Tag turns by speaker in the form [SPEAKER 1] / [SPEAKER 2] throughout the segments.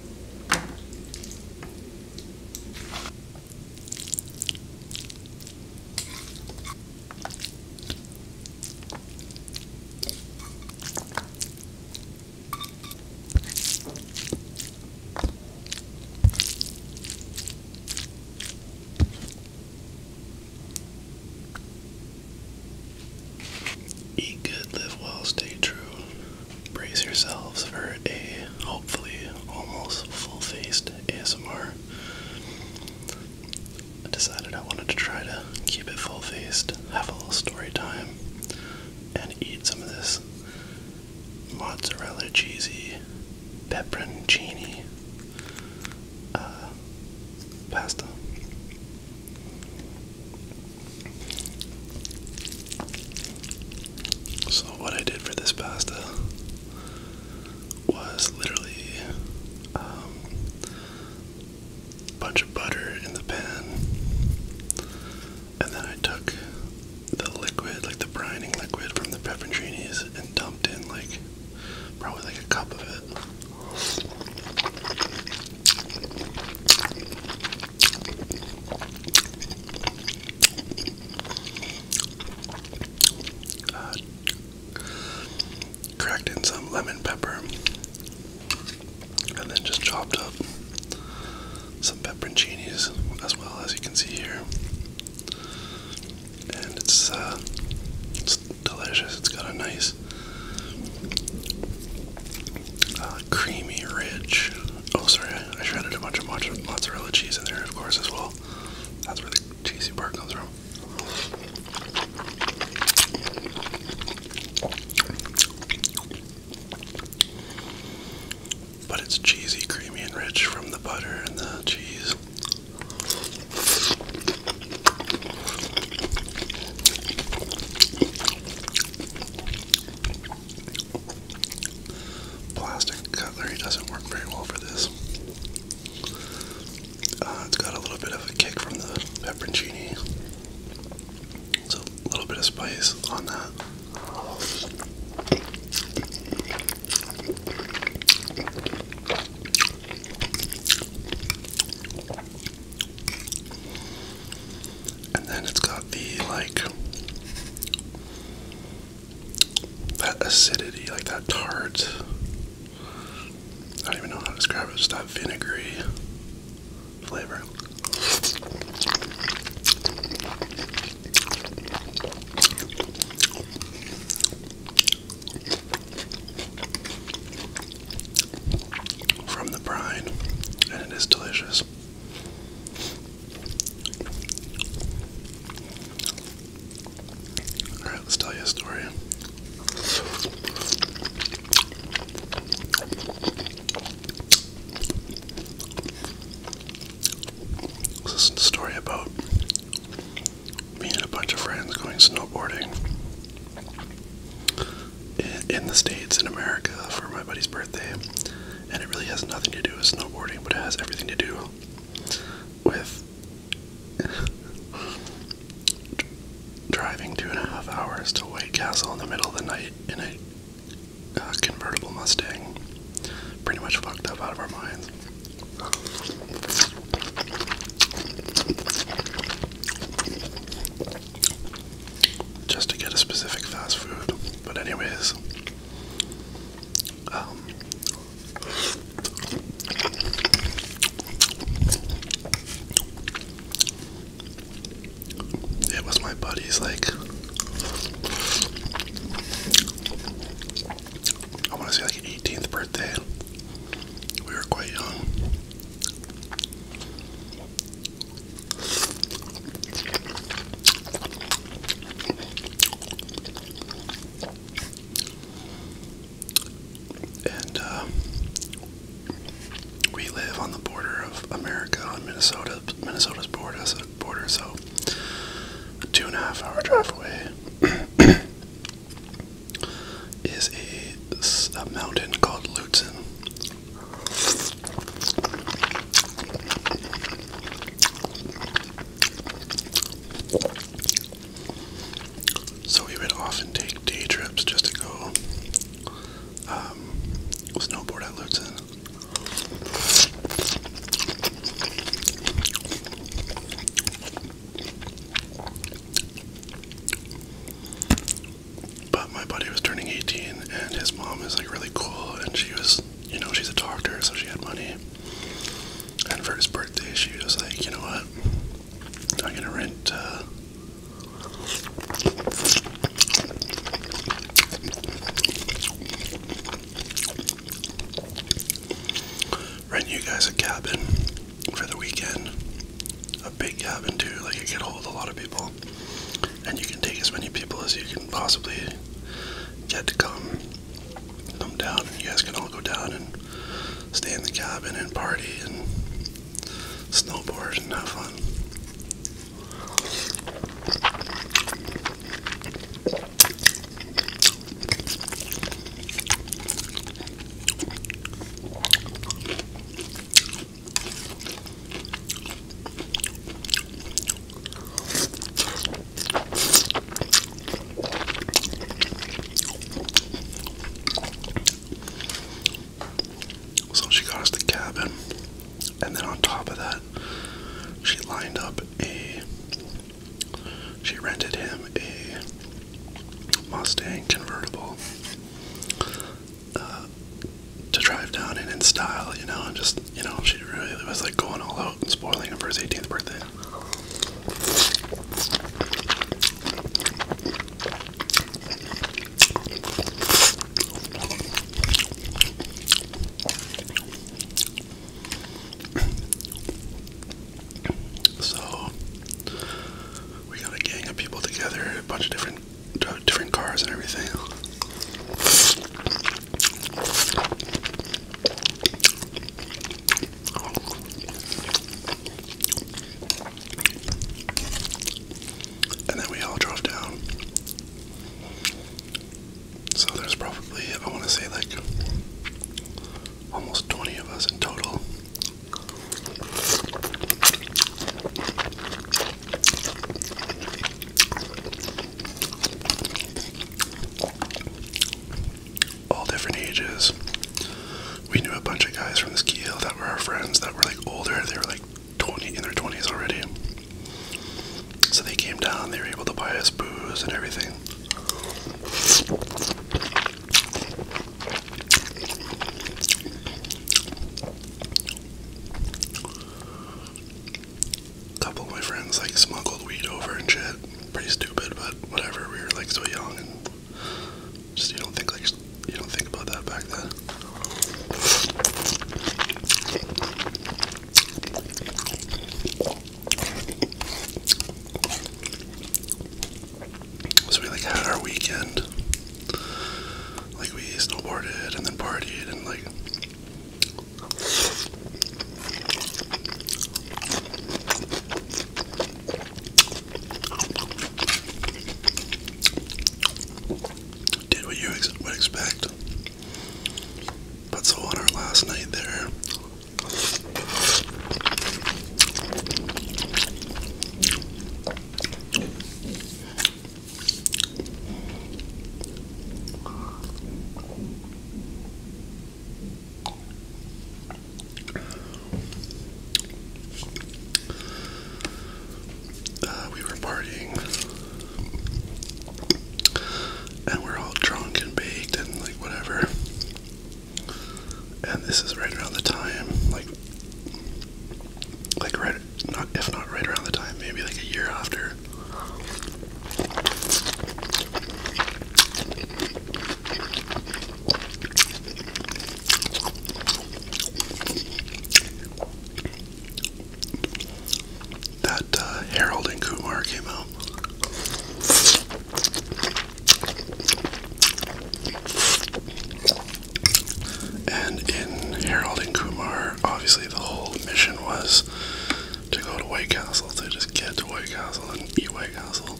[SPEAKER 1] Eat good, live well, stay true brace yourselves for a hopefully almost full faced ASMR. I decided I wanted to try to keep it full faced, have a little story time, and eat some of this mozzarella cheesy pepperoncini uh, pasta. So, what I did for this pasta was literally a um, bunch of butter in the pan, and then I took the liquid, like the brining liquid from the pepperoncinis, and dumped in like probably like a cup of it. Uh, cracked in some lemon pepper and then just chopped up some pepperoncinis as well as you can see here and it's uh, it's delicious it's got a nice uh, creamy, rich. Oh, sorry, I shredded a bunch of mozzarella cheese in there, of course, as well. That's where the cheesy part comes from. But it's cheesy, creamy, and rich from the butter and the cheese. Plastic cutlery doesn't work very well for this. Uh, it's got a little bit of a kick from the pepperoncini. So a little bit of spice on that. And then it's got the like that acidity, like that tart. I don't even know how to describe it, just that vinegary flavor from the brine, and it is delicious. Alright, let's tell you a story. This is a story about me and a bunch of friends going snowboarding in the States, in America, for my buddy's birthday. And it really has nothing to do with snowboarding, but it has everything to do with driving two and a half hours to White Castle in the middle of the night in a uh, convertible Mustang. Pretty much fucked up out of our minds just to get a specific fast food. But anyways, um, it was my buddy's like I want to say like 18th birthday. We were quite young. And uh, we live on the border of America, on Minnesota, Minnesota's border, so, border, so two and a half hour drive away. is a, mountain called Lutsen. So we would often take day trips just to go um, snowboard at Lutsen. But my buddy was turning 18, and his mom is like really cool, and she was, you know, she's a doctor, so she had money. And for his birthday, she was like, you know what? I'm gonna rent. Uh, Rent you guys a cabin for the weekend. A big cabin too, like it can hold a lot of people, and you can take as many people as you can possibly get to come come down. And you guys can all go down and stay in the cabin and party and snowboard and have fun. So she got us the cabin, and then on top of that, she lined up a she rented him a Mustang convertible uh, to drive down in in style, you know, and just, you know, she really was like going all out and spoiling him for his 18th birthday. So we got a gang of people together, a bunch of different different cars and everything. And then we all drove down. So there's probably, I want to say, like almost 20 of us in total. All different ages. We knew a bunch of guys from the ski hill that were our friends that were like older. They were like 20 in their 20s already. So they came down, they were able to buy us booze and everything. Couple of my friends like smuggled weed over and shit. Pretty stupid, but whatever. We were like so young and just you don't think like you don't think about that back then. So we like had our weekend. Like we snowboarded and then partied and like did what you would expect. But so on our last night there, uh, we were partying and we're all drunk and baked and like whatever. And this is right around the time, like, like right, not if not right around the time, maybe like a year after. That uh, Harold and Kumar came out. And in Harold and Kumar, obviously the whole mission was to go to White Castle, to just get to White Castle and eat White Castle.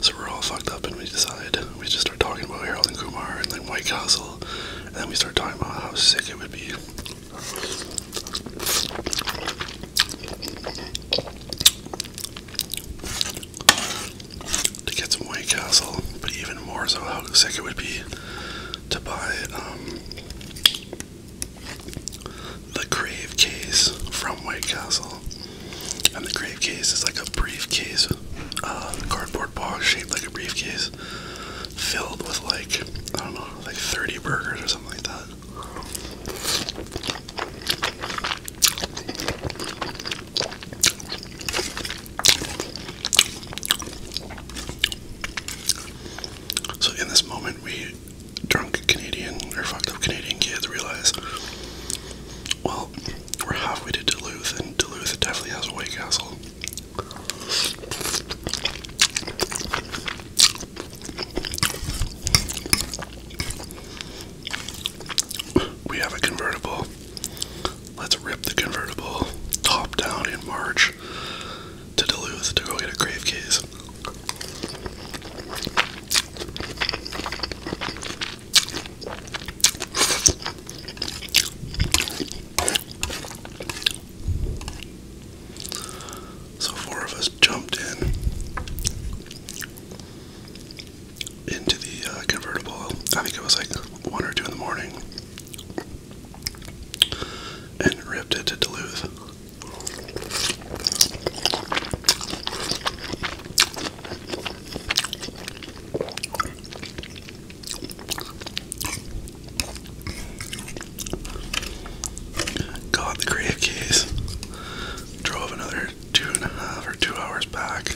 [SPEAKER 1] So we're all fucked up and we decide, we just start talking about Harold and Kumar and then White Castle, and then we start talking about how sick it would be. To get some White Castle, but even more so, how sick it would be to buy um, the Grave Case from White Castle. And the Grave Case is like a briefcase, uh, cardboard box shaped like a briefcase, filled with like, I don't know, like 30 burgers or something like that. So in this moment, we drunk Canadian or fucked up Canadian kids realize, well, we're halfway to Duluth, and Duluth definitely has a White Castle. We have a convertible. Let's rip the convertible top down in March to Duluth to go get a grave case. So four of us jumped in into the uh, convertible. I think it was like one or two in the morning and ripped it to Duluth. Got the Grave drove another two and a half or two hours back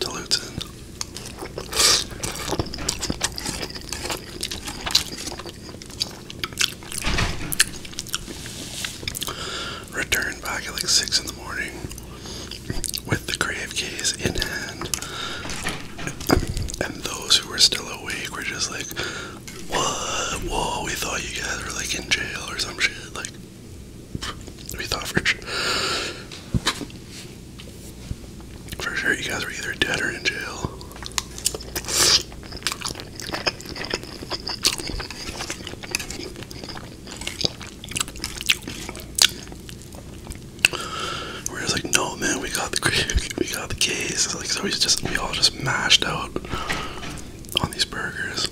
[SPEAKER 1] to Luton. Returned back at like 6 in the morning with the grave case in hand. And those who were still awake were just like, What? Whoa, we thought you guys were like in jail or some shit. Like, we thought for sure. For sure, you guys were either dead or in jail. We're just like, no, man, we got the case. like, so we just we all just mashed out on these burgers.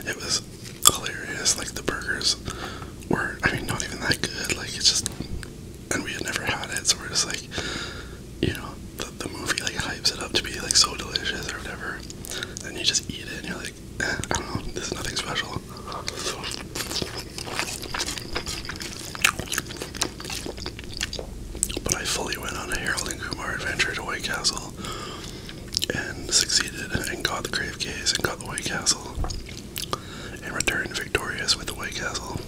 [SPEAKER 1] It was hilarious. Like the burgers were, I mean, not even that good. Like it's just and we had never had it, so we're just like, you know, the, the movie like hypes it up to be like so delicious or whatever. Then you just eat it and you're like, eh, I don't know, this is nothing special. But I fully went on a Harold and Kumar adventure to White Castle and succeeded and got the Grave Case and got the White Castle and returned victorious with the White Castle.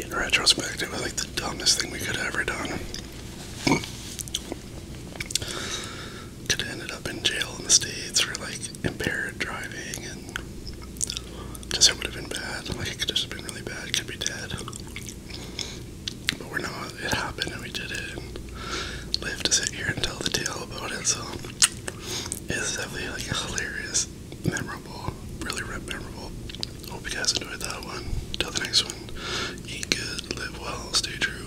[SPEAKER 1] In retrospect, it was like the dumbest thing we could have ever done could have ended up in jail in the States for like impaired driving and just it would have been bad. Like it could just have been really bad, could be dead. But we're not. It happened and we did it and live to sit here and tell the tale about it. So it's definitely like a hilarious, memorable, really memorable. Hope you guys enjoyed that one. Till the next one, eat good, live well, stay true.